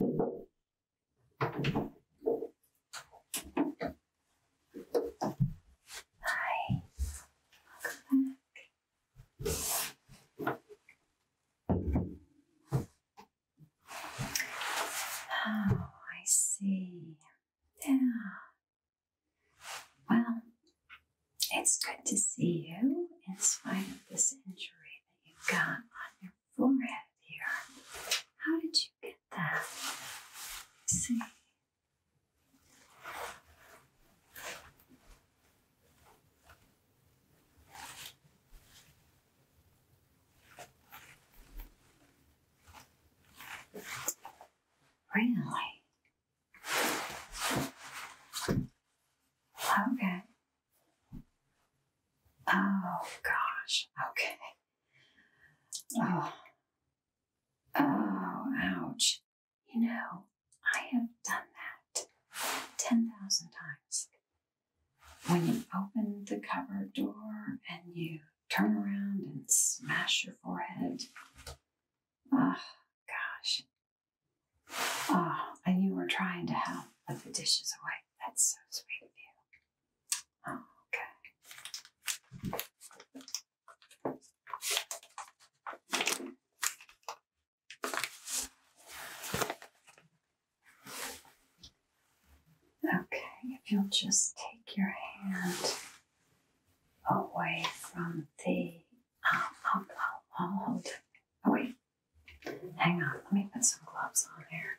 Hi, Oh, I see. Yeah. Well, it's good to see you in spite of this injury that you've got on your forehead here. How did you get that? see. Really? Okay. Oh gosh. Okay. Oh. Oh, ouch. You know, I have done that 10,000 times. When you open the cupboard door and you turn around and smash your forehead. Oh, gosh. Oh, and you were trying to help, put the dishes away. That's so sweet of you. Oh, okay. Okay, if you'll just take your hand away from the. Um, I'll, I'll, I'll hold it. Oh, wait. Hang on, let me put some gloves on here.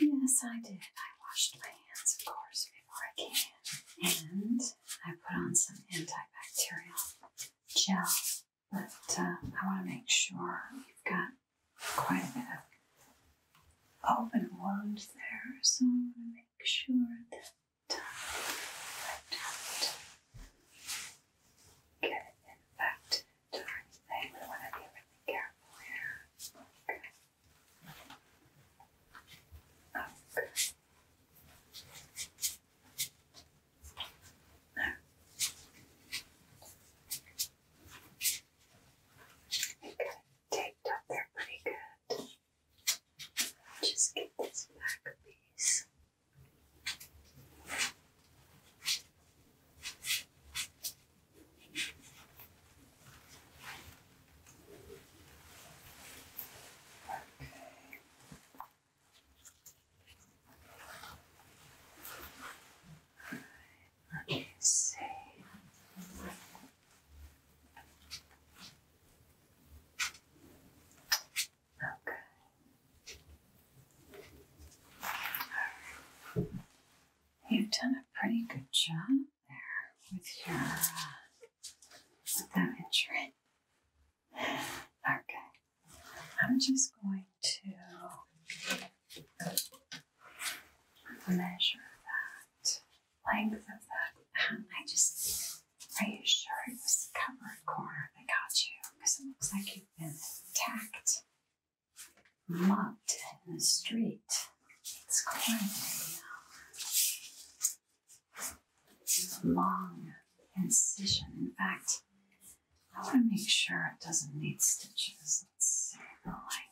Yes, I did. I washed my hands, of course, before I came in. And I put on some antibacterial gel. But uh, I want to make sure you've got quite a bit of open wounds there, so i want to make sure that I don't get infected or We want to be really careful here. Okay. Okay. Okay. Take shaped up there pretty good. Just get this back piece. Okay. All right. Let me see. Okay. You've done a pretty good job there with your uh, that Okay. I'm just going to measure that length of that. Um, I just, are you sure it was the covered corner that got you? Because it looks like you've been attacked, mugged in the street. It's quite a long incision. In fact, I want to make sure it doesn't need stitches. Let's see the length.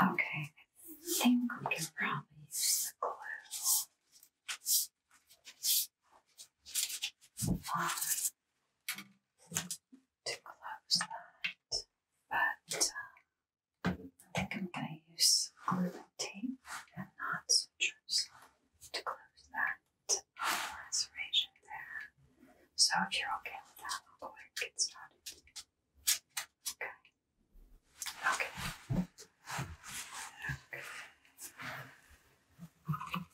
Okay, I think we can probably use the glue um, to close that, but um, I think I'm going to use glue tape and knots and to close that reservation there. So if you're okay with that, I'll go ahead and get started. Okay. Okay. I'm going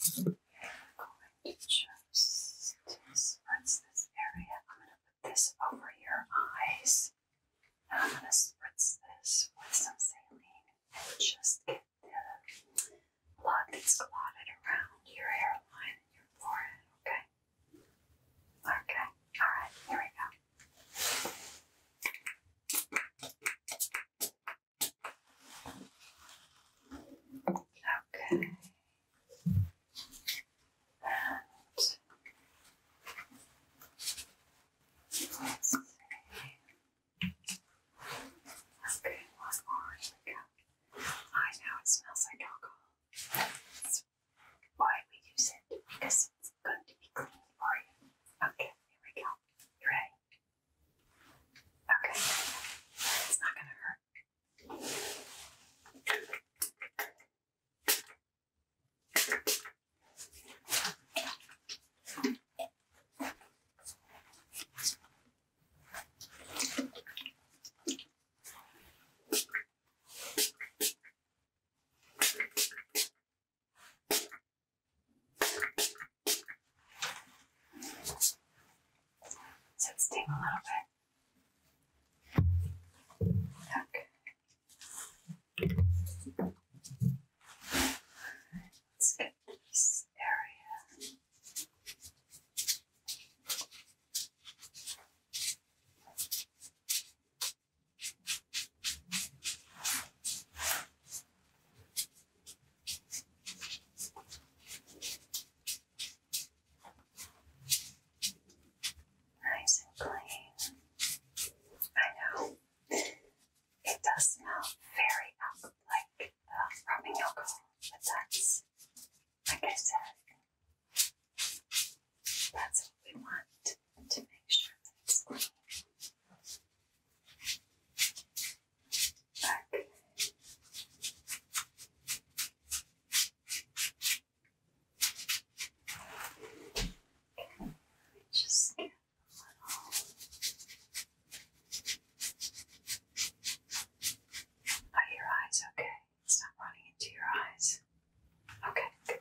to just spritz this area. I'm going to put this over your eyes. And I'm going to spritz this with some saline and just the blood that's clotted around your hairline and your forehead, okay? Okay, alright, here we go. Okay. And Okay, one more. Here we go. I know it smells like alcohol. That's why we use it because it's good to be clean for you. Okay, here we go. You ready? Okay, it's not gonna hurt. So it's a little bit. Okay. Let's get this area. Nice and clean. I know it does smell very alcoholic rubbing alcohol, but that's, like I said, that's what we want to make sure it's clean. Okay, let me just get a little are your eyes okay? It's not running into your eyes. Okay.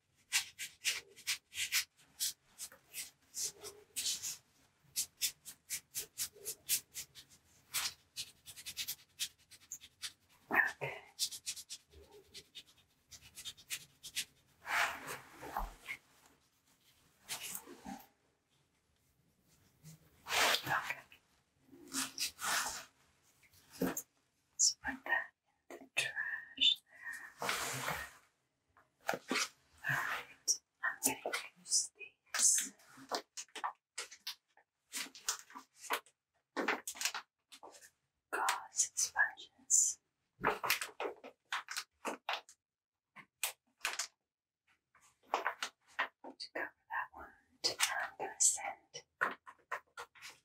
Okay. Okay. So like that in the trash there. Alright, I'm going to use these. Gauze sponges. To cover that wound, I'm going to send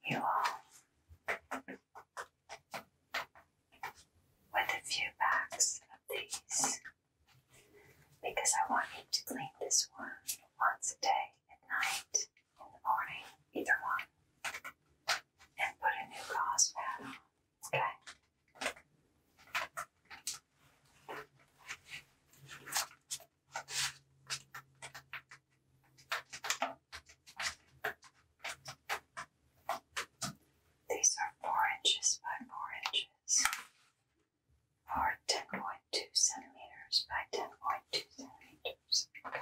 you all with a few packs of these because I want you to clean this one once a day, at night, in the morning, either one, and put a new gauze pad on. Okay. These are four inches by four inches, or ten point two centimeters by ten point two centimeters. Okay.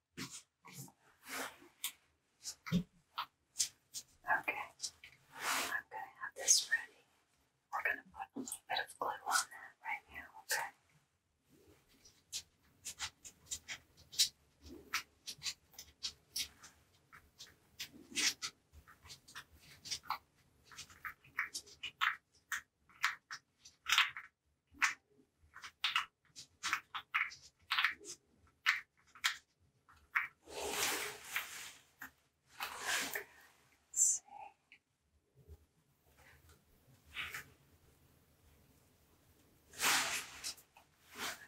Okay, I'm going to have this ready. We're going to put a little bit of glue on that right now, okay? Let's see.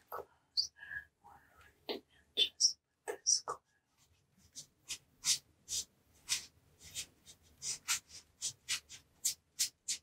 Close that word and just put this glue. Okay.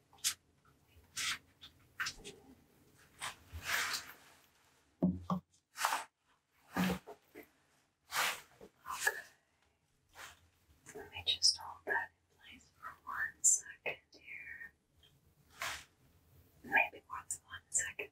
Let me just hold that in place for one second here. Maybe more than one second.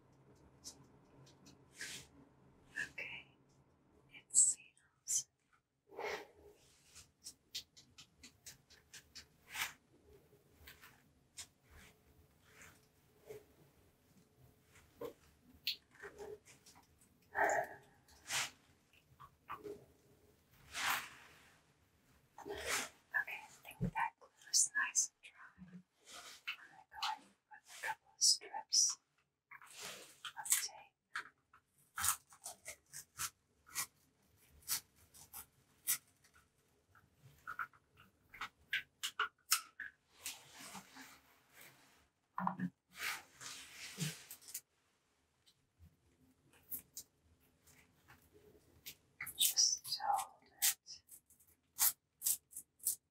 Okay, it seals. Okay, think that glue is nice and dry. I'm going with a couple of strips of tape. Just hold it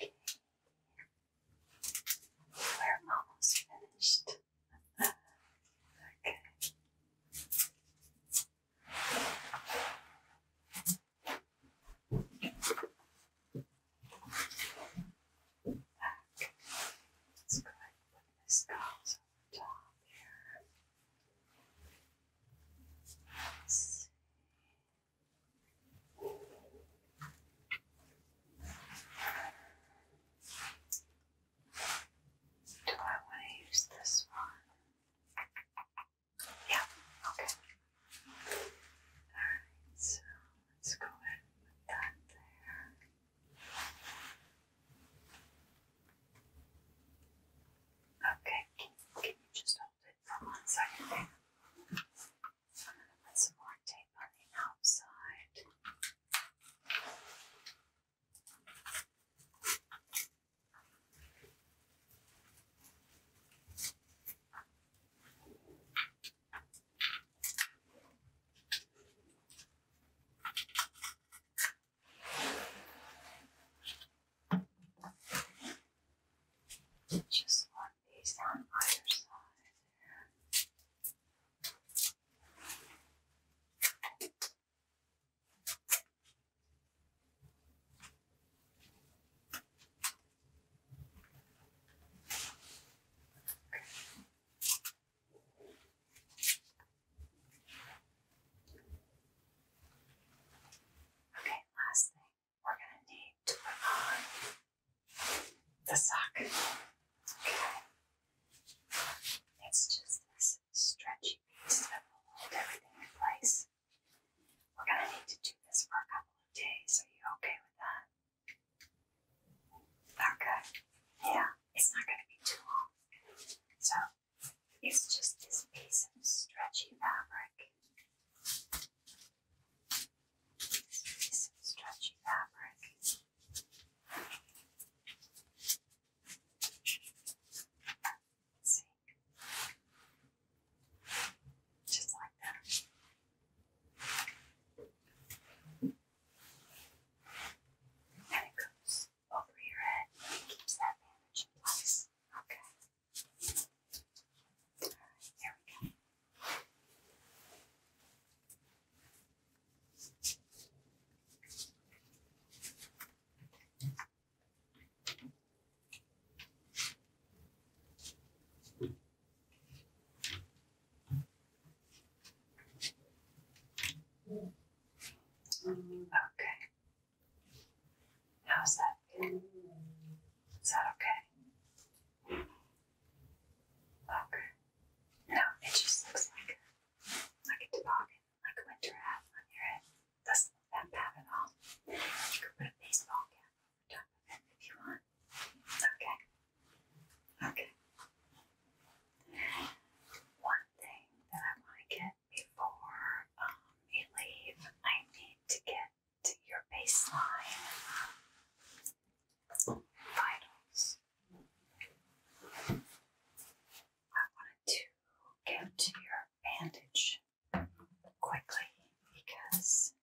Okay. We're almost finished. okay. It's good when this on top here. Do I want to use this one? Yeah, okay. Alright, so Let's go ahead and that there. Okay, can, you just hold it for one second I'm going to put some more tape on the outside. Just one piece on either side there. Okay. Okay, last thing, we're going to need to put on the sock. Okay. It's just this stretchy piece that will hold everything in place. We're going to need to do this for a couple of days. Are you okay with that? not Yeah, it's not going to be too long. So it's just this piece of stretchy fabric. This piece of stretchy fabric. see. Just like that. And it goes over your head keeps that bandage in Okay. there we go okay. How's that? Is that okay? Okay. No, it just looks like like a toboggan, like a winter hat on your head. Doesn't look that bad at all. You could put a baseball cap if you want. Okay. Okay. One thing that I want to get before um, leave, I need to get to your baseline vitals. I wanted to get to your bandage quickly because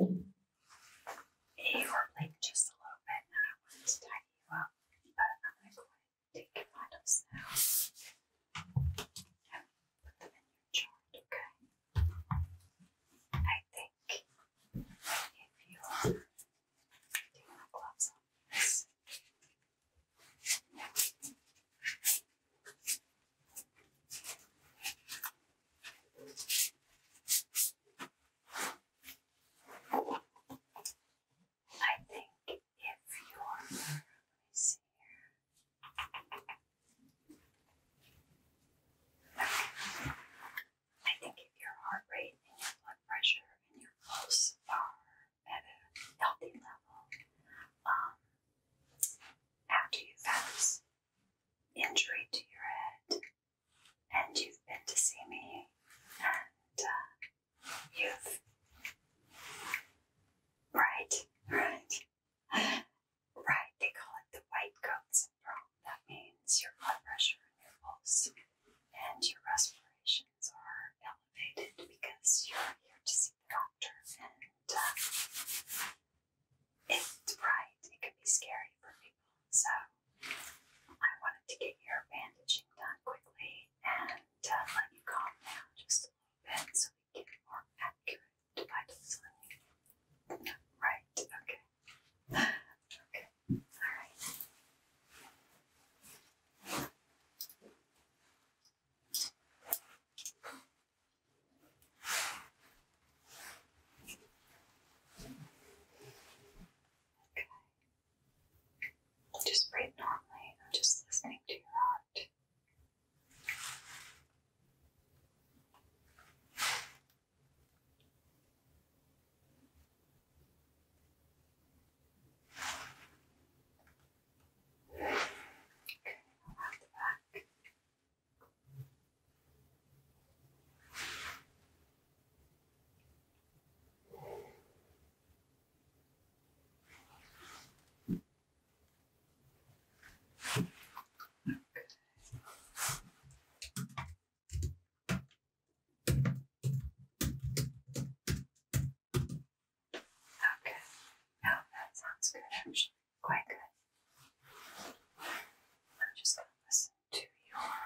you were late just a little bit, I wanted to tidy you up, but I'm going to go ahead and take your vitals now and put them in your chart, okay? I think if you are taking gloves on I think if you I think if your heart rate and your blood pressure and your pulse are at a healthy level, um, after you fast, injury to your head, and you've been to see me, and uh, you've. Right, right. Right, they call it the white coat syndrome. That means your blood pressure and your pulse and your respirations are elevated because you're here to see the doctor and uh, it's bright, it can be scary for people. So I wanted to get your bandaging done quickly and uh, let you calm down just a little bit so we can get more accurate vitals on you. Right, okay. Okay, alright. Okay. Just breathe normally. I'm just listening to your heart. Okay, now back to back. Okay, now that sounds good actually quite good. I'm just going to listen to your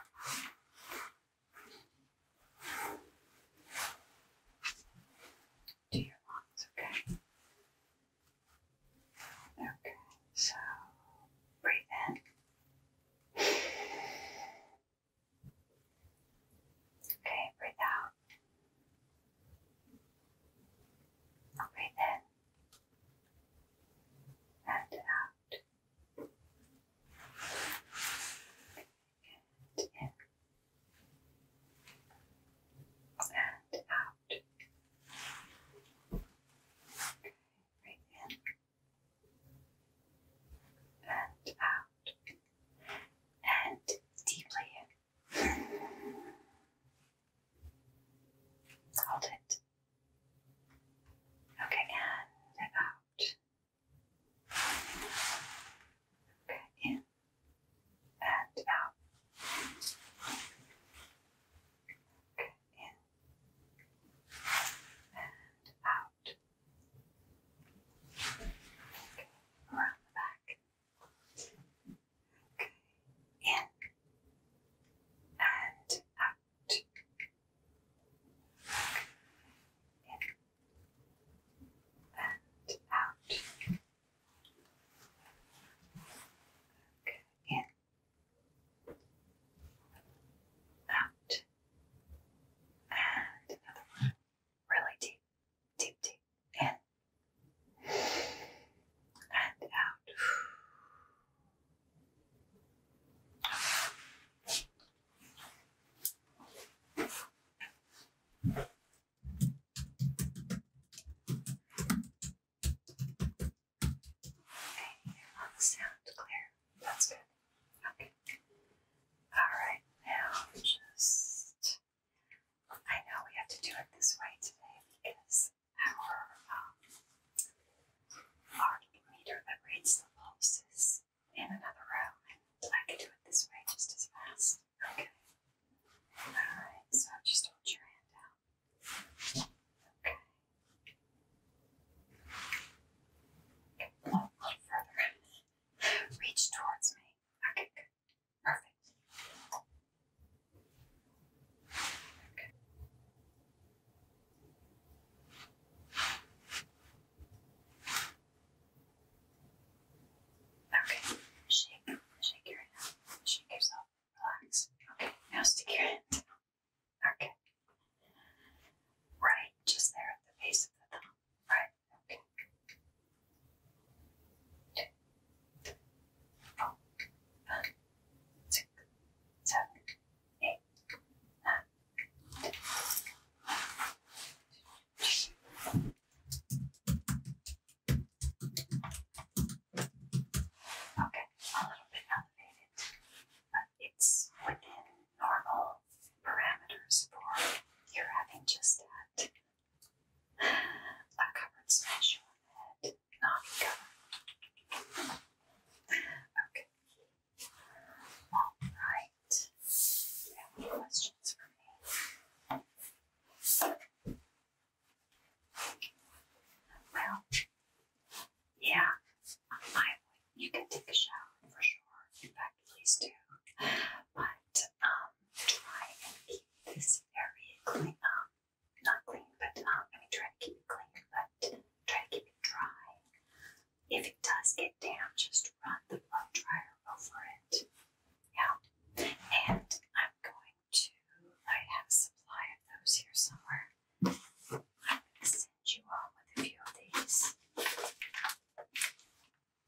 to your lungs, okay? Okay, so breathe in. Okay, breathe out. Breathe in and out, and in, and out. right in, and out, and deeply in. Hold it. Okay, and out. Okay, in and out. Okay, in and out. Okay, around the back in and out, in and out, in, out, and another one. Really deep, deep, deep, in and out. Okay, you're on the sound clear. That's good. Okay. Alright, now just I know we have to do it this way today because is our, um, our meter that reads the pulses in another room. And I can do it this way just as fast. Okay. Alright, so just hold your hand out. Okay. A little, further. Reach towards me. Okay, Perfect. Okay, shake, shake your head shake yourself, relax. Okay, now stick your hand. Okay. Right, just there at the base of the thumb. Right, okay two, four, five, six, seven, eight, nine, ten. Okay, a little bit elevated, but it's within normal parameters for you having just that. A covered smash on the not go. Okay. All right. you any questions for me? Well, yeah, I you can take a shower for sure. In fact, please do. But um, try and keep this area clean up not clean, but not, um, I mean, try to keep it clean, but try to keep it dry. If it does get damp, just run the blow dryer over it. Yeah. And I'm going to, I have a supply of those here somewhere. I'm going to send you on with a few of these.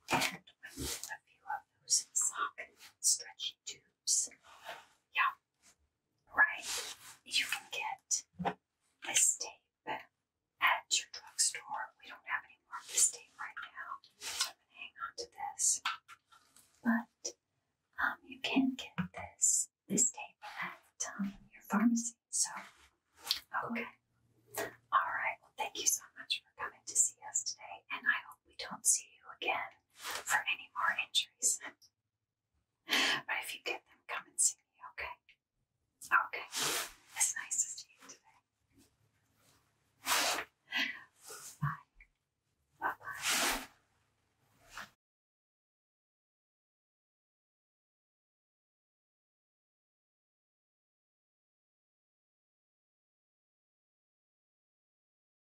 And with a few of those sock stretchy tubes. Yeah right? You can get this tape at your drugstore. We don't have any more of this tape right now. I'm gonna hang on to this. But um, you can get this this tape at um, your pharmacy. So okay. All right. Well, thank you so much for coming to see us today, and I hope we don't see you again for any more injuries. but if you get them, come and see me, okay? Okay. It's nice to see you today. Bye. Bye bye.